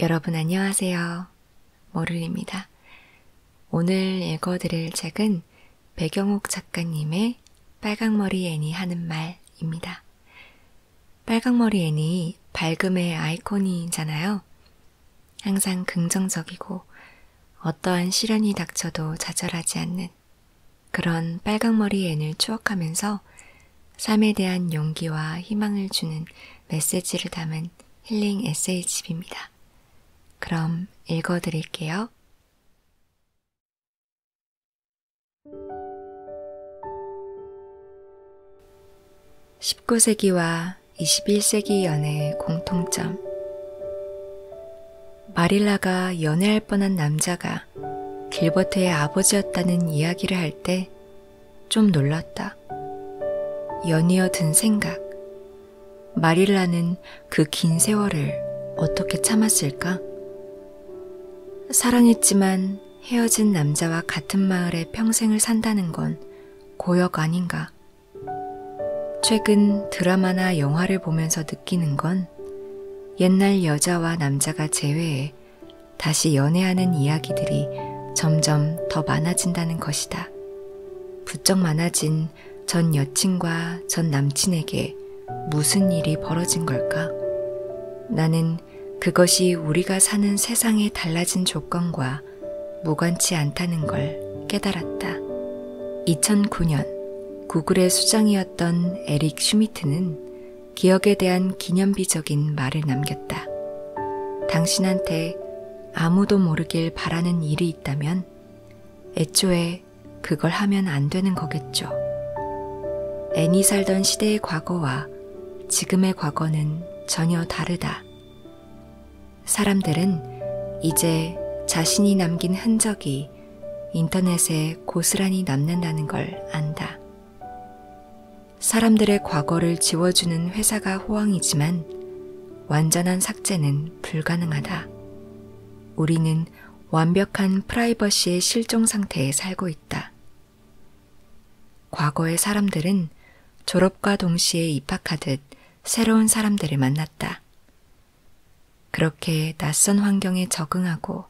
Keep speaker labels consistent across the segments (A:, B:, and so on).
A: 여러분 안녕하세요. 모를입니다. 오늘 읽어드릴 책은 배경옥 작가님의 빨강머리 애니 하는 말입니다. 빨강머리 애니 밝음의 아이콘이잖아요. 항상 긍정적이고 어떠한 시련이 닥쳐도 좌절하지 않는 그런 빨강머리 앤을 추억하면서 삶에 대한 용기와 희망을 주는 메시지를 담은 힐링 에세이집입니다. 그럼 읽어드릴게요. 십구 세기와 이십일 세기 연애의 공통점. 마릴라가 연애할 뻔한 남자가 길버트의 아버지였다는 이야기를 할때 좀 놀랐다. 연이어 든 생각. 마릴라는 그 긴 세월을 어떻게 참았을까? 사랑했지만 헤어진 남자와 같은 마을에 평생을 산다는 건 고역 아닌가? 최근 드라마나 영화를 보면서 느끼는 건 옛날 여자와 남자가 제외해 다시 연애하는 이야기들이 점점 더 많아진다는 것이다. 부쩍 많아진 전 여친과 전 남친에게 무슨 일이 벌어진 걸까? 나는 그것이 우리가 사는 세상에 달라진 조건과 무관치 않다는 걸 깨달았다. 2009년 구글의 수장이었던 에릭 슈미트는 기억에 대한 기념비적인 말을 남겼다. 당신한테 아무도 모르길 바라는 일이 있다면 애초에 그걸 하면 안 되는 거겠죠. 애니 살던 시대의 과거와 지금의 과거는 전혀 다르다. 사람들은 이제 자신이 남긴 흔적이 인터넷에 고스란히 남는다는 걸 안다. 사람들의 과거를 지워주는 회사가 호황이지만 완전한 삭제는 불가능하다. 우리는 완벽한 프라이버시의 실종 상태에 살고 있다. 과거의 사람들은 졸업과 동시에 입학하듯 새로운 사람들을 만났다. 그렇게 낯선 환경에 적응하고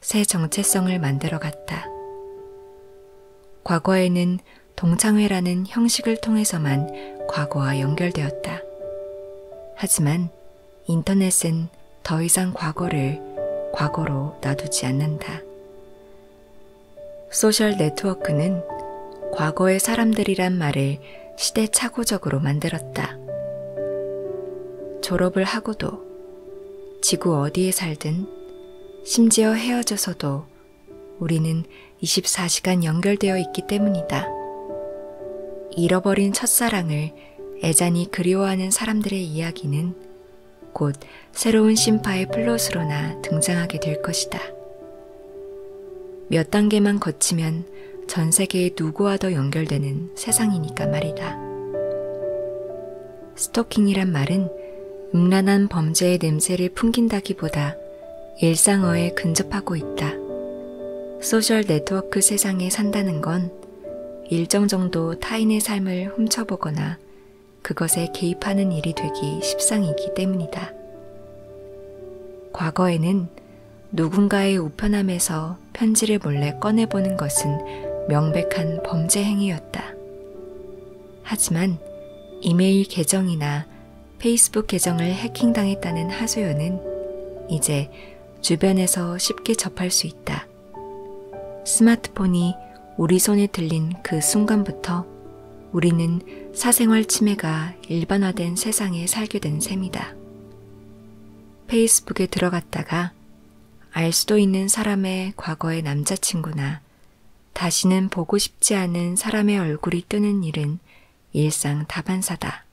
A: 새 정체성을 만들어 갔다. 과거에는 동창회라는 형식을 통해서만 과거와 연결되었다. 하지만 인터넷은 더 이상 과거를 과거로 놔두지 않는다. 소셜 네트워크는 과거의 사람들이란 말을 시대착오적으로 만들었다. 졸업을 하고도 지구 어디에 살든 심지어 헤어져서도 우리는 24시간 연결되어 있기 때문이다. 잃어버린 첫사랑을 애잔히 그리워하는 사람들의 이야기는 곧 새로운 심파의 플롯으로나 등장하게 될 것이다. 몇 단계만 거치면 전 세계의 누구와도 연결되는 세상이니까 말이다. 스토킹이란 말은 음란한 범죄의 냄새를 풍긴다기보다 일상어에 근접하고 있다. 소셜 네트워크 세상에 산다는 건 일정 정도 타인의 삶을 훔쳐보거나 그것에 개입하는 일이 되기 십상이기 때문이다. 과거에는 누군가의 우편함에서 편지를 몰래 꺼내보는 것은 명백한 범죄 행위였다. 사람이었다. 하지만 이메일 계정이나 페이스북 계정을 해킹당했다는 하소연은 이제 주변에서 쉽게 접할 수 있다. 스마트폰이 우리 손에 들린 그 순간부터 우리는 사생활 침해가 일반화된 세상에 살게 된 셈이다. 페이스북에 들어갔다가 알 수도 있는 사람의 과거의 남자친구나 다시는 보고 싶지 않은 사람의 얼굴이 뜨는 일은 일상 다반사다.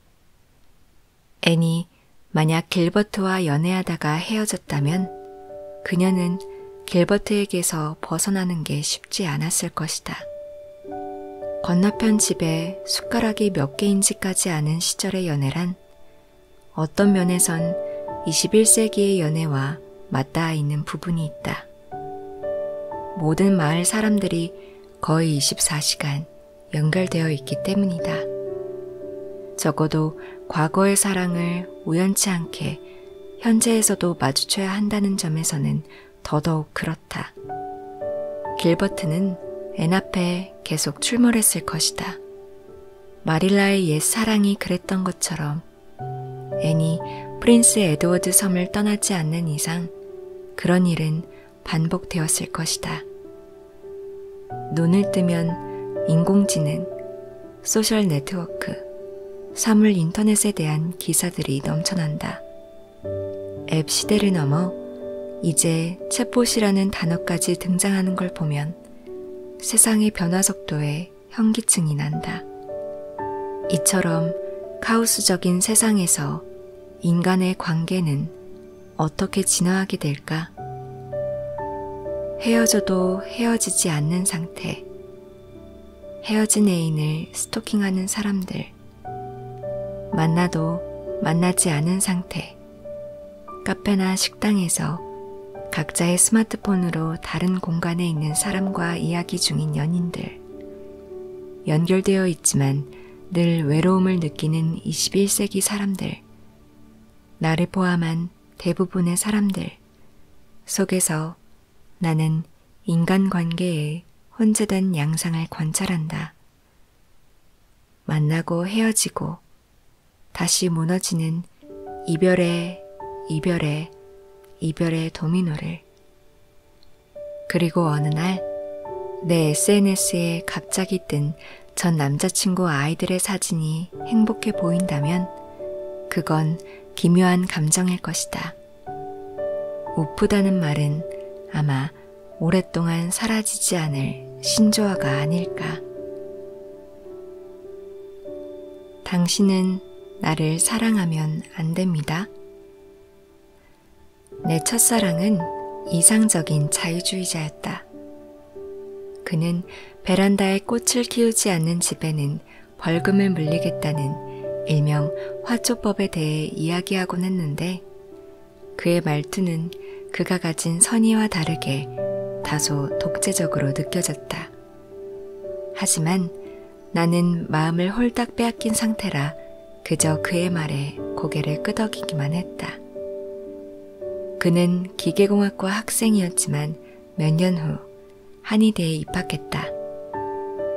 A: 앤이 만약 길버트와 연애하다가 헤어졌다면 그녀는 길버트에게서 벗어나는 게 쉽지 않았을 것이다. 건너편 집에 숟가락이 몇 개인지까지 아는 시절의 연애란 어떤 면에선 21세기의 연애와 맞닿아 있는 부분이 있다. 모든 마을 사람들이 거의 24시간 연결되어 있기 때문이다. 적어도 과거의 사랑을 우연치 않게 현재에서도 마주쳐야 한다는 점에서는 더더욱 그렇다. 길버트는 앤 앞에 계속 출몰했을 것이다. 마릴라의 옛 사랑이 그랬던 것처럼 앤이 프린스 에드워드 섬을 떠나지 않는 이상 그런 일은 반복되었을 것이다. 눈을 뜨면 인공지능, 소셜 네트워크, 사물 인터넷에 대한 기사들이 넘쳐난다. 앱 시대를 넘어 이제 챗봇이라는 단어까지 등장하는 걸 보면 보면 세상의 변화 속도에 현기증이 난다. 이처럼 카오스적인 세상에서 인간의 관계는 어떻게 진화하게 될까? 헤어져도 헤어지지 않는 상태. 헤어진 애인을 스토킹하는 사람들. 만나도 만나지 않은 상태. 카페나 식당에서 각자의 스마트폰으로 다른 공간에 있는 사람과 이야기 중인 연인들. 연결되어 있지만 늘 외로움을 느끼는 21세기 사람들. 나를 포함한 대부분의 사람들. 속에서 나는 인간관계에 혼재된 양상을 관찰한다. 만나고 헤어지고 다시 무너지는 이별의 이별의 이별의 도미노를 그리고 어느 날 내 SNS에 갑자기 뜬 전 남자친구 아이들의 사진이 행복해 보인다면 그건 기묘한 감정일 것이다. 우프다는 말은 아마 오랫동안 사라지지 않을 신조어가 아닐까. 당신은 나를 사랑하면 안 됩니다. 내 첫사랑은 이상적인 자유주의자였다. 그는 베란다에 꽃을 키우지 않는 집에는 벌금을 물리겠다는 일명 화초법에 대해 이야기하곤 했는데 그의 말투는 것은 그가 가진 선의와 다르게 다소 독재적으로 느껴졌다. 하지만 나는 마음을 홀딱 빼앗긴 상태라 그저 그의 말에 고개를 끄덕이기만 했다. 그는 기계공학과 학생이었지만 몇 년 후 한의대에 입학했다.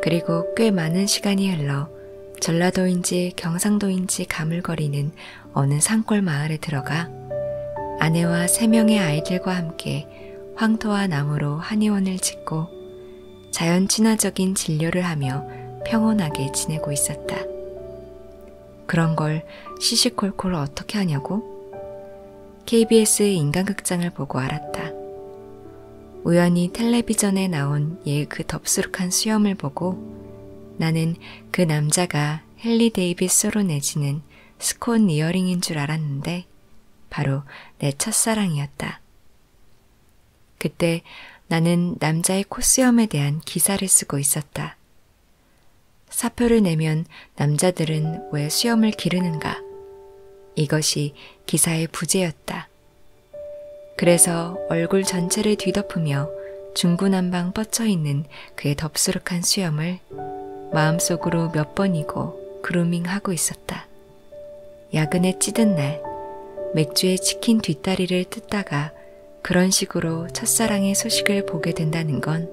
A: 그리고 꽤 많은 시간이 흘러 전라도인지 경상도인지 가물거리는 사는 어느 산골 마을에 들어가 아내와 세 명의 아이들과 함께 황토와 나무로 한의원을 짓고 자연 친화적인 진료를 하며 평온하게 지내고 있었다. 그런 걸 시시콜콜 어떻게 하냐고? KBS 인간극장을 보고 알았다. 우연히 텔레비전에 나온 얘그 덥수룩한 수염을 보고 나는 그 남자가 아까 헨리 데이비스로 내지는 스콘 이어링인 줄 알았는데 바로 내 첫사랑이었다. 그때 나는 남자의 코수염에 대한 기사를 쓰고 있었다. 사표를 내면 남자들은 왜 수염을 기르는가? 이것이 기사의 부제였다. 그래서 얼굴 전체를 뒤덮으며 중구난방 뻗쳐 있는 그의 덥수룩한 수염을 마음속으로 몇 번이고 그루밍하고 있었다. 야근에 찌든 날 맥주에 치킨 뒷다리를 뜯다가 그런 식으로 첫사랑의 소식을 보게 된다는 건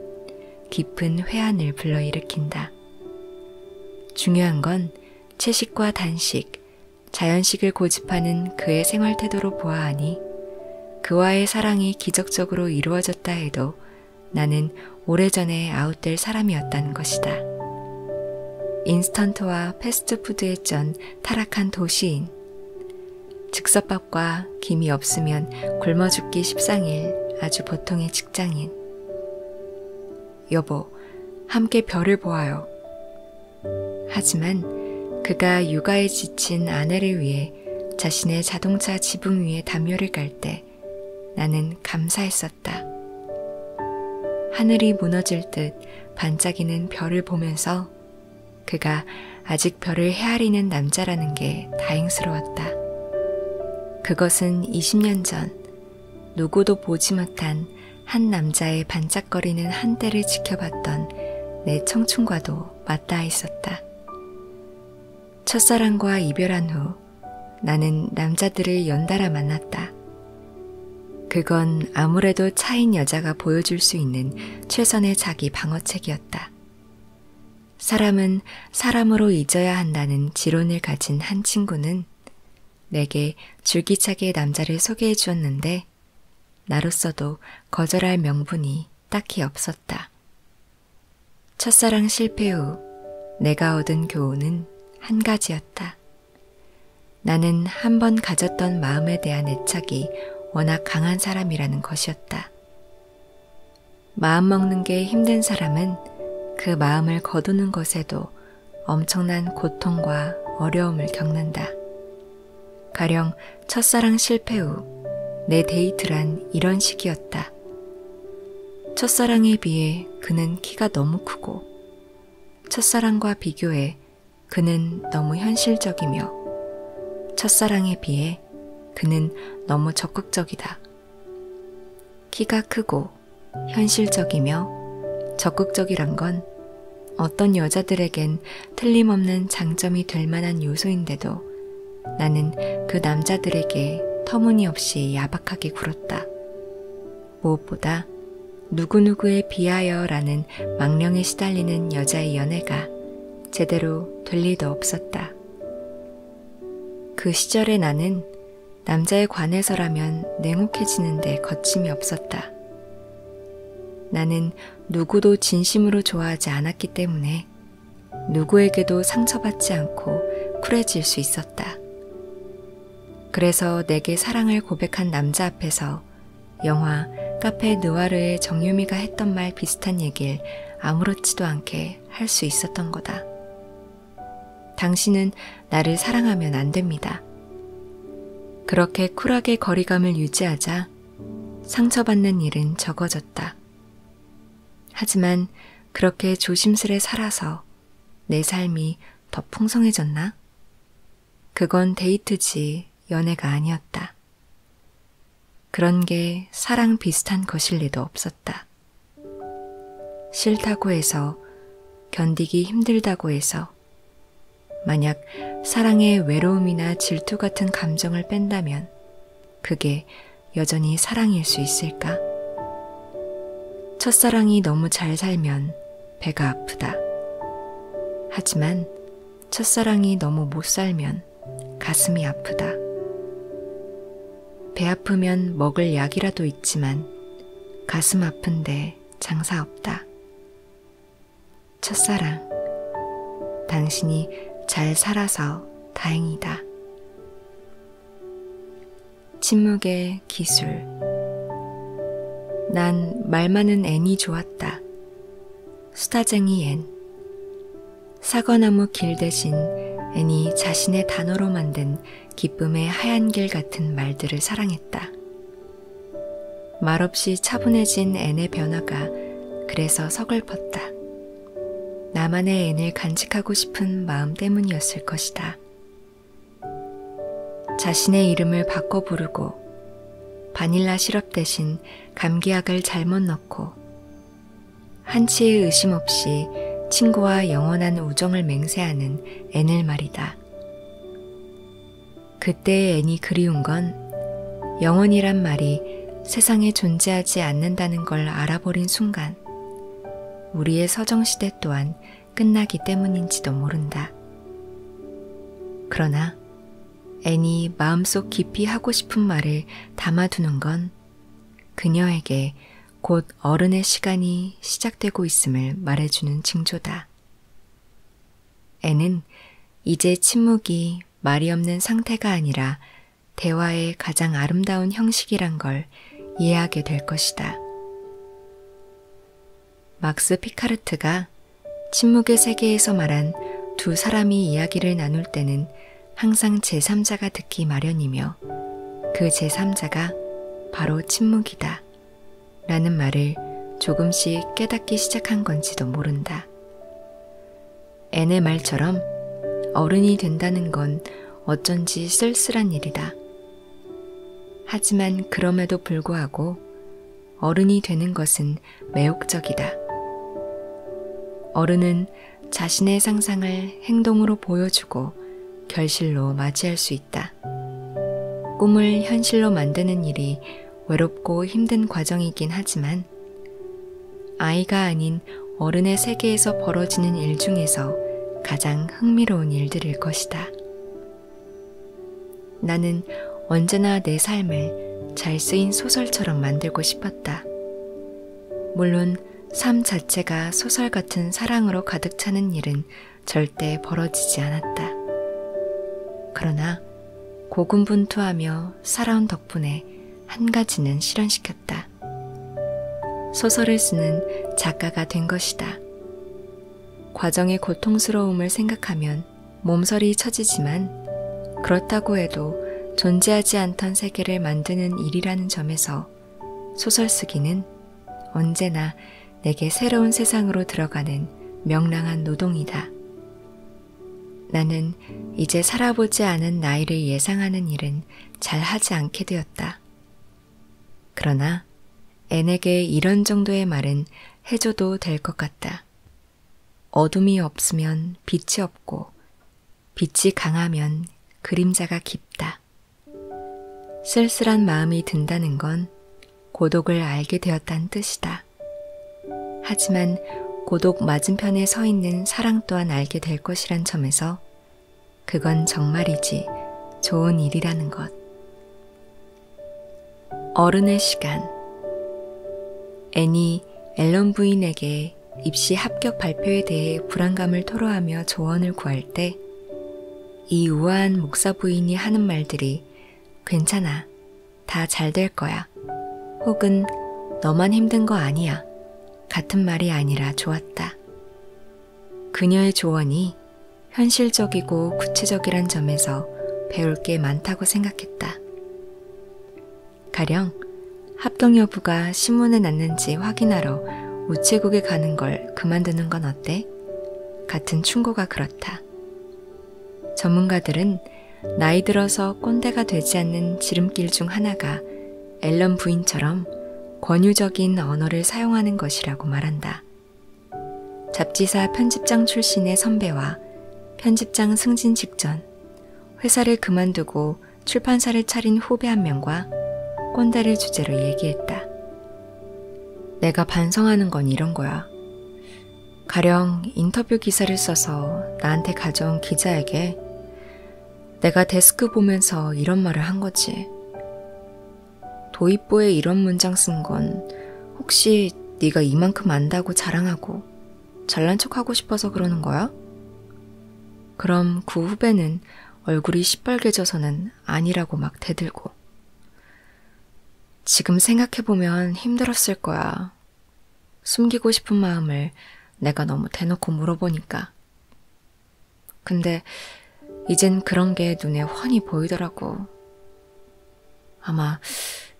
A: 깊은 회한을 불러일으킨다. 중요한 건 채식과 단식, 자연식을 고집하는 그의 생활 태도로 보아하니 그와의 사랑이 기적적으로 이루어졌다 해도 나는 오래전에 아웃될 사람이었다는 것이다. 인스턴트와 패스트푸드에 쩐 타락한 도시인. 즉석밥과 김이 없으면 굶어 죽기 십상일 아주 보통의 직장인. 여보, 함께 별을 보아요. 하지만 그가 육아에 지친 아내를 위해 때 자신의 자동차 지붕 위에 담요를 깔 때 나는 감사했었다. 하늘이 무너질 듯 반짝이는 별을 보면서 그가 아직 별을 헤아리는 남자라는 게 다행스러웠다. 그것은 20년 전 누구도 보지 못한 한 남자의 반짝거리는 한때를 지켜봤던 내 청춘과도 맞닿아 있었다. 첫사랑과 이별한 후 나는 남자들을 연달아 만났다. 그건 아무래도 차인 여자가 보여줄 수 있는 최선의 자기 방어책이었다. 사람은 사람으로 잊어야 한다는 지론을 가진 한 친구는 내게 줄기차게 남자를 소개해 주었는데, 나로서도 거절할 명분이 딱히 없었다. 첫사랑 실패 후 내가 얻은 교훈은 한 가지였다. 나는 한 번 가졌던 마음에 대한 애착이 워낙 강한 사람이라는 것이었다. 마음 먹는 게 힘든 사람은 그 마음을 거두는 것에도 엄청난 고통과 어려움을 겪는다. 가령 첫사랑 실패 후 내 데이트란 이런 식이었다. 첫사랑에 비해 그는 키가 너무 크고, 첫사랑과 비교해 그는 너무 현실적이며, 첫사랑에 비해 그는 너무 적극적이다. 키가 크고, 현실적이며, 적극적이란 건 어떤 여자들에겐 틀림없는 장점이 될 만한 요소인데도 나는 그 남자들에게 터무니없이 야박하게 굴었다. 무엇보다 누구누구에 비하여 라는 망령에 시달리는 여자의 연애가 제대로 될 리도 없었다. 그 시절의 나는 남자에 관해서라면 냉혹해지는데 거침이 없었다. 나는 누구도 진심으로 좋아하지 않았기 때문에 누구에게도 상처받지 않고 쿨해질 수 있었다. 그래서 내게 사랑을 고백한 남자 앞에서 영화 카페 느와르의 정유미가 했던 말 비슷한 얘기를 아무렇지도 않게 할 수 있었던 거다. 당신은 나를 사랑하면 안 됩니다. 그렇게 쿨하게 거리감을 유지하자 상처받는 일은 적어졌다. 하지만 그렇게 조심스레 살아서 내 삶이 더 풍성해졌나? 그건 데이트지 연애가 아니었다. 그런 게 사랑 비슷한 것일 리도 없었다. 싫다고 해서, 견디기 힘들다고 해서, 마냥 만약 사랑의 외로움이나 질투 같은 감정을 뺀다면 그게 여전히 사랑일 수 있을까? 첫사랑이 너무 잘 살면 배가 아프다. 하지만 첫사랑이 너무 못 살면 가슴이 아프다. 배 아프면 먹을 약이라도 있지만 가슴 아픈데 장사 없다. 첫사랑, 당신이 잘 살아서 다행이다. 침묵의 기술. 난 말 많은 앤이 좋았다. 수다쟁이 앤. 사과나무 길 대신 앤이 자신의 단어로 만든 기쁨의 하얀 길 같은 말들을 사랑했다. 말없이 차분해진 앤의 변화가 그래서 서글펐다. 나만의 앤을 간직하고 싶은 마음 때문이었을 것이다. 자신의 이름을 바꿔 부르고 바닐라 시럽 대신 감기약을 잘못 넣고 한치의 의심 없이 친구와 영원한 우정을 맹세하는 앤을 말이다. 그때의 앤이 그리운 건 영혼이란 말이 세상에 존재하지 않는다는 걸 알아버린 순간 우리의 서정시대 또한 끝나기 때문인지도 모른다. 그러나 앤이 마음속 깊이 하고 싶은 말을 담아두는 건 그녀에게 곧 어른의 시간이 시작되고 있음을 말해주는 징조다. 앤은 이제 침묵이 소통이 말이 없는 상태가 아니라 대화의 가장 아름다운 형식이란 걸 이해하게 될 것이다. 막스 피카르트가 침묵의 세계에서 말한 두 사람이 이야기를 나눌 때는 항상 제3자가 듣기 마련이며 그 제3자가 바로 침묵이다. 라는 말을 조금씩 깨닫기 시작한 건지도 모른다. 있다. 앤의 말처럼 어른이 된다는 건 어쩐지 쓸쓸한 일이다. 하지만 그럼에도 불구하고 어른이 되는 것은 매혹적이다. 어른은 자신의 상상을 행동으로 보여주고 결실로 맞이할 수 있다. 꿈을 현실로 만드는 일이 외롭고 힘든 과정이긴 하지만 아이가 아닌 어른의 세계에서 벌어지는 일 중에서 가장 흥미로운 일들일 것이다. 나는 언제나 내 삶을 잘 쓰인 소설처럼 만들고 싶었다. 물론 삶 자체가 소설 같은 사랑으로 가득 차는 일은 절대 벌어지지 않았다. 그러나 고군분투하며 살아온 덕분에 한 가지는 실현시켰다. 소설을 쓰는 작가가 된 것이다. 과정의 고통스러움을 생각하면 몸서리 처지지만 그렇다고 해도 존재하지 않던 세계를 만드는 일이라는 점에서 소설 쓰기는 언제나 내게 새로운 세상으로 들어가는 명랑한 노동이다. 나는 이제 살아보지 않은 나이를 예상하는 일은 잘 하지 않게 되었다. 그러나 앤에게 이런 정도의 말은 해줘도 될 것 같다. 어둠이 없으면 빛이 없고, 빛이 강하면 그림자가 깊다. 쓸쓸한 마음이 든다는 건 고독을 알게 되었다는 뜻이다. 것이다. 하지만 고독 맞은편에 서 있는 사랑 또한 알게 될 것이란 점에서 그건 정말이지 좋은 일이라는 것. 어른의 시간. 애니 앨런 부인에게 입시 합격 발표에 대해 불안감을 토로하며 조언을 구할 때 이 우아한 목사 부인이 하는 말들이 괜찮아, 다 잘 될 거야. 거야. 혹은 너만 힘든 거 아니야. 같은 말이 아니라 좋았다. 그녀의 조언이 현실적이고 구체적이란 점에서 배울 게 많다고 생각했다. 가령 합격 여부가 신문에 났는지 확인하러 우체국에 가는 걸 그만두는 건 어때? 같은 충고가 그렇다. 전문가들은 나이 들어서 꼰대가 되지 않는 지름길 중 하나가 앨런 부인처럼 권유적인 언어를 사용하는 것이라고 말한다. 잡지사 편집장 출신의 선배와 편집장 승진 직전, 회사를 그만두고 출판사를 차린 후배 한 명과 꼰대를 주제로 얘기했다. 내가 반성하는 건 이런 거야. 가령 인터뷰 기사를 써서 나한테 가져온 기자에게 내가 데스크 보면서 이런 말을 한 거지. 도입부에 이런 문장 쓴 건 혹시 네가 이만큼 안다고 자랑하고 잘난 척하고 싶어서 그러는 거야? 그럼 그 후배는 얼굴이 시뻘개져서는 아니라고 막 대들고 지금 생각해보면 힘들었을 거야. 숨기고 싶은 마음을 내가 너무 대놓고 물어보니까. 근데 이젠 그런 게 눈에 훤히 보이더라고. 아마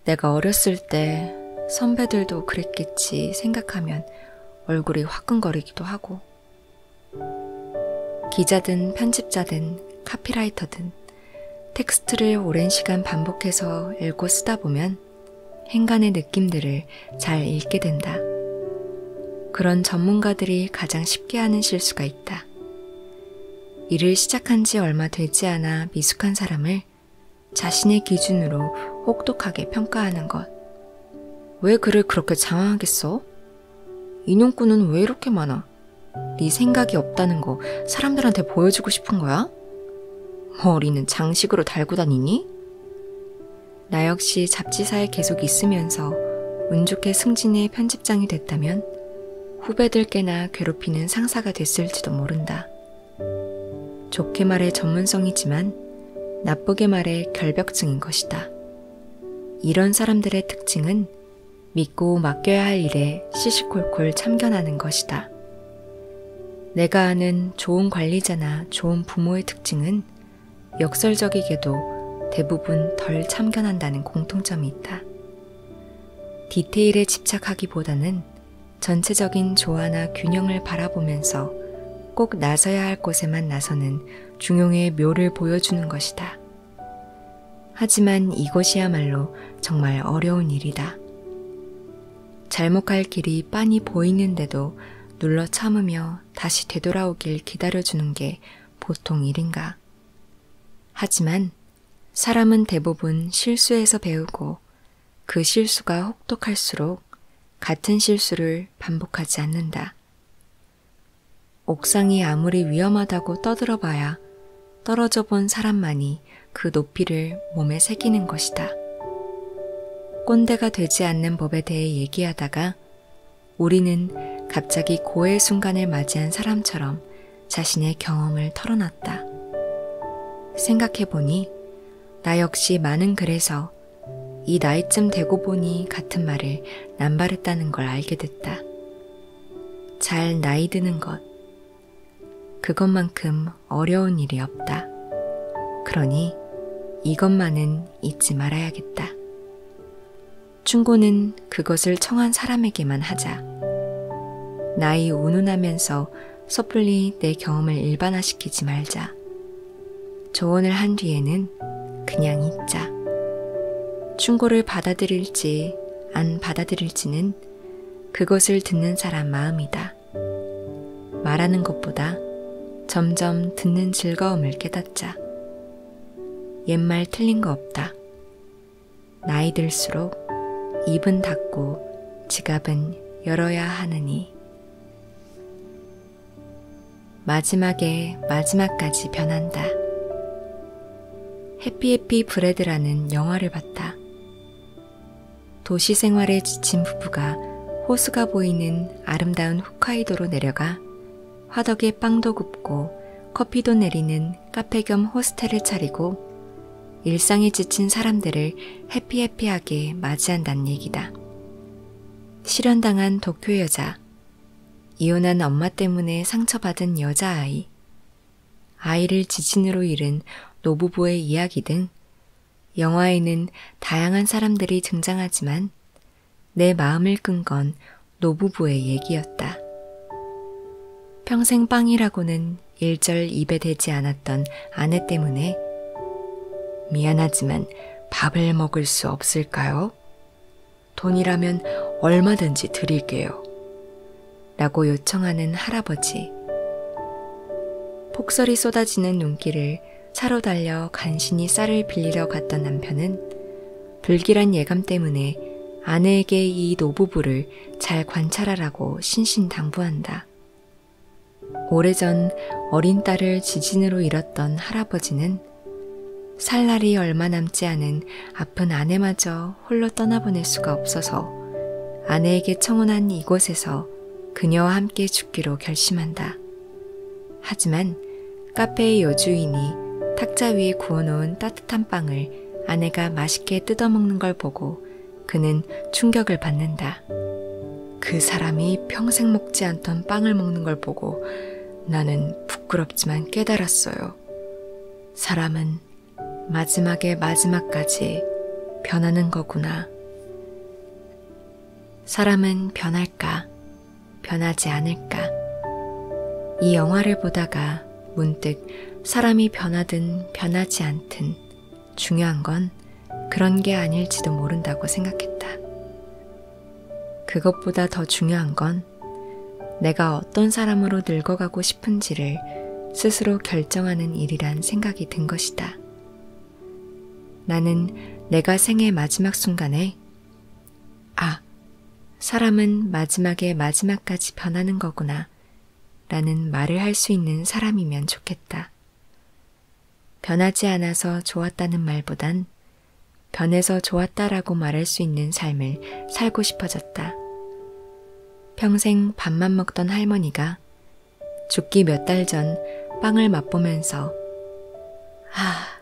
A: 내가 어렸을 때 선배들도 그랬겠지 생각하면 얼굴이 화끈거리기도 하고. 기자든 편집자든 카피라이터든 텍스트를 오랜 시간 반복해서 읽고 쓰다 보면 행간의 느낌들을 잘 읽게 된다. 그런 전문가들이 가장 쉽게 하는 실수가 있다. 일을 시작한 지 얼마 되지 않아 미숙한 사람을 자신의 기준으로 혹독하게 평가하는 것. 왜 글을 그렇게 장황하게 써? 인용구는 왜 이렇게 많아? 거야? 네 생각이 없다는 거 사람들한테 보여주고 싶은 거야? 머리는 장식으로 달고 다니니? 나 역시 잡지사에 계속 있으면서 운 좋게 승진의 편집장이 됐다면 후배들께나 괴롭히는 상사가 됐을지도 모른다. 좋게 말해 전문성이지만 나쁘게 말해 결벽증인 것이다. 이런 사람들의 특징은 믿고 맡겨야 할 일에 시시콜콜 참견하는 것이다. 내가 아는 좋은 관리자나 좋은 부모의 특징은 역설적이게도 대부분 덜 참견한다는 공통점이 있다. 디테일에 집착하기보다는 전체적인 조화나 균형을 바라보면서 꼭 나서야 할 곳에만 나서는 중용의 묘를 보여주는 것이다. 하지만 이것이야말로 정말 어려운 일이다. 잘못할 길이 빤히 보이는데도 눌러 참으며 다시 되돌아오길 기다려주는 게 보통 일인가. 하지만 사람은 대부분 실수에서 배우고 그 실수가 혹독할수록 같은 실수를 반복하지 않는다. 옥상이 아무리 위험하다고 떠들어봐야 떨어져 본 사람만이 그 높이를 몸에 새기는 것이다. 꼰대가 되지 않는 법에 대해 얘기하다가 우리는 갑자기 고해 순간을 맞이한 사람처럼 자신의 경험을 털어놨다. 생각해보니 나 역시 많은 글에서 이 나이쯤 되고 보니 같은 말을 남발했다는 걸 알게 됐다. 잘 나이 드는 것, 그것만큼 어려운 일이 없다. 그러니 이것만은 잊지 말아야겠다. 충고는 그것을 청한 사람에게만 하자. 나이 운운하면서 섣불리 내 경험을 일반화시키지 말자. 조언을 한 뒤에는 그냥 잊자. 충고를 받아들일지 안 받아들일지는 것은 그것을 듣는 사람 마음이다. 말하는 것보다 점점 듣는 즐거움을 깨닫자. 옛말 틀린 거 없다. 나이 들수록 입은 닫고 지갑은 열어야 하느니. 마지막에 마지막까지 변한다. 해피해피 브레드라는 영화를 봤다. 도시 생활에 지친 부부가 호수가 보이는 아름다운 홋카이도로 내려가 화덕에 빵도 굽고 커피도 내리는 카페 겸 호스텔을 차리고 일상에 지친 사람들을 해피해피하게 맞이한다는 얘기다. 실현당한 도쿄 여자, 이혼한 엄마 때문에 상처받은 여자아이, 아이를 지진으로 잃은 노부부의 이야기 등 영화에는 다양한 사람들이 등장하지만 내 마음을 끈 건 노부부의 얘기였다. 평생 빵이라고는 일절 입에 대지 않았던 아내 때문에 미안하지만 밥을 먹을 수 없을까요? 돈이라면 얼마든지 드릴게요. 라고 요청하는 할아버지. 폭설이 쏟아지는 눈길을 차로 달려 간신히 쌀을 빌리러 갔던 남편은 불길한 예감 때문에 아내에게 이 노부부를 잘 관찰하라고 신신당부한다. 오래전 어린 딸을 지진으로 잃었던 할아버지는 살 날이 얼마 남지 않은 아픈 아내마저 하여 홀로 떠나보낼 수가 없어서 아내에게 청혼한 이곳에서 그녀와 함께 죽기로 결심한다. 하지만 카페의 여주인이 탁자 위에 구워놓은 따뜻한 빵을 아내가 맛있게 뜯어먹는 걸 보고 그는 충격을 받는다. 그 사람이 평생 먹지 않던 빵을 먹는 걸 보고 나는 부끄럽지만 깨달았어요. 사람은 마지막의 마지막까지 변하는 거구나. 사람은 변할까, 변하지 않을까. 이 영화를 보다가 문득 사람이 변하든 변하지 않든 중요한 건 그런 게 아닐지도 모른다고 생각했다. 그것보다 더 중요한 건 있다면 내가 어떤 사람으로 늙어가고 싶은지를 스스로 결정하는 일이란 생각이 든 것이다. 나는 내가 생애 마지막 순간에 아, 사람은 마지막에 마지막까지 변하는 거구나 라는 말을 할 수 있는 사람이면 좋겠다. 변하지 않아서 좋았다는 말보단 변해서 좋았다라고 말할 수 있는 삶을 살고 싶어졌다. 있었다. 평생 밥만 먹던 할머니가 죽기 몇 달 전 빵을 맛보면서 아,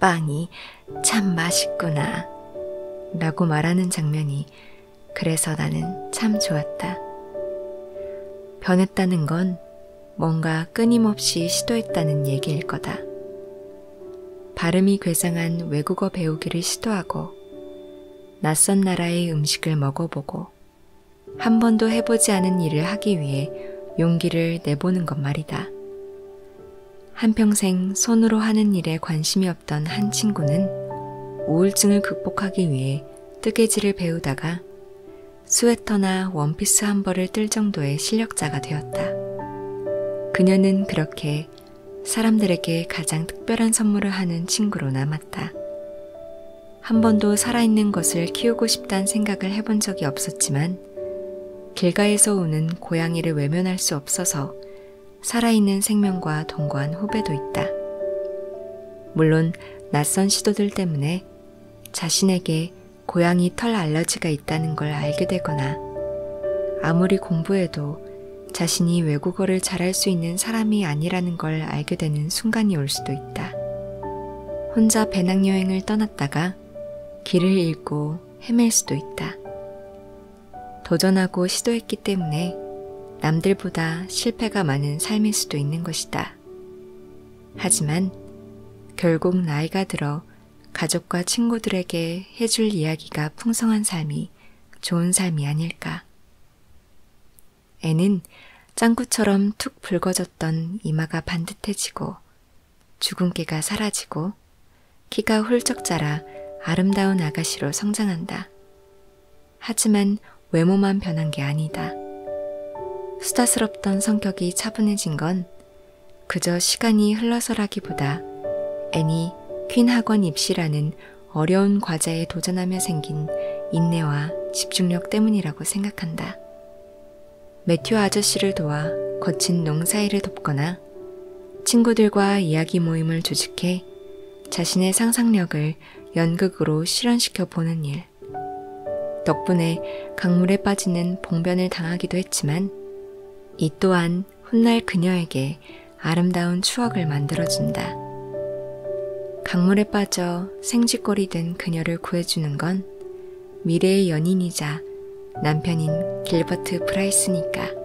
A: 빵이 참 맛있구나 라고 말하는 장면이 그래서 나는 참 좋았다. 변했다는 건 뭔가 끊임없이 시도했다는 얘기일 거다. 발음이 괴상한 외국어 배우기를 시도하고 낯선 나라의 음식을 먹어보고 한 번도 해보지 않은 일을 하기 위해 용기를 내보는 것 말이다. 한평생 손으로 하는 일에 관심이 없던 한 친구는 우울증을 극복하기 위해 뜨개질을 배우다가 스웨터나 원피스 한 벌을 뜰 정도의 실력자가 되었다. 그녀는 그렇게 사람들에게 가장 특별한 선물을 하는 친구로 남았다. 한 번도 살아있는 것을 키우고 싶다는 생각을 해본 적이 없었지만, 길가에서 우는 고양이를 외면할 수 없어서 살아있는 생명과 동거한 후배도 있다. 물론 낯선 시도들 때문에 자신에게 고양이 털 알러지가 있다는 걸 알게 되거나 아무리 공부해도 자신이 외국어를 잘할 수 있는 사람이 아니라는 걸 알게 되는 순간이 올 수도 있다. 혼자 배낭여행을 떠났다가 길을 잃고 헤맬 수도 있다. 도전하고 시도했기 때문에 남들보다 실패가 많은 삶일 수도 있는 것이다. 하지만 결국 나이가 들어 가족과 친구들에게 해줄 이야기가 풍성한 삶이 좋은 삶이 아닐까. 애는 짱구처럼 툭 붉어졌던 이마가 반듯해지고 주근깨가 사라지고 키가 훌쩍 자라 아름다운 아가씨로 성장한다. 하지만 외모만 변한 게 아니다. 수다스럽던 성격이 차분해진 건 그저 시간이 흘러서라기보다 애니 퀸 학원 입시라는 어려운 과제에 도전하며 생긴 인내와 집중력 때문이라고 생각한다. 매튜 아저씨를 도와 거친 농사일을 돕거나 친구들과 이야기 모임을 조직해 자신의 상상력을 연극으로 실현시켜 보는 일. 덕분에 강물에 빠지는 봉변을 당하기도 했지만 이 또한 훗날 그녀에게 아름다운 추억을 만들어준다. 강물에 빠져 생쥐꼴이 된 그녀를 구해주는 건 미래의 연인이자 남편인 길버트 프라이스니까.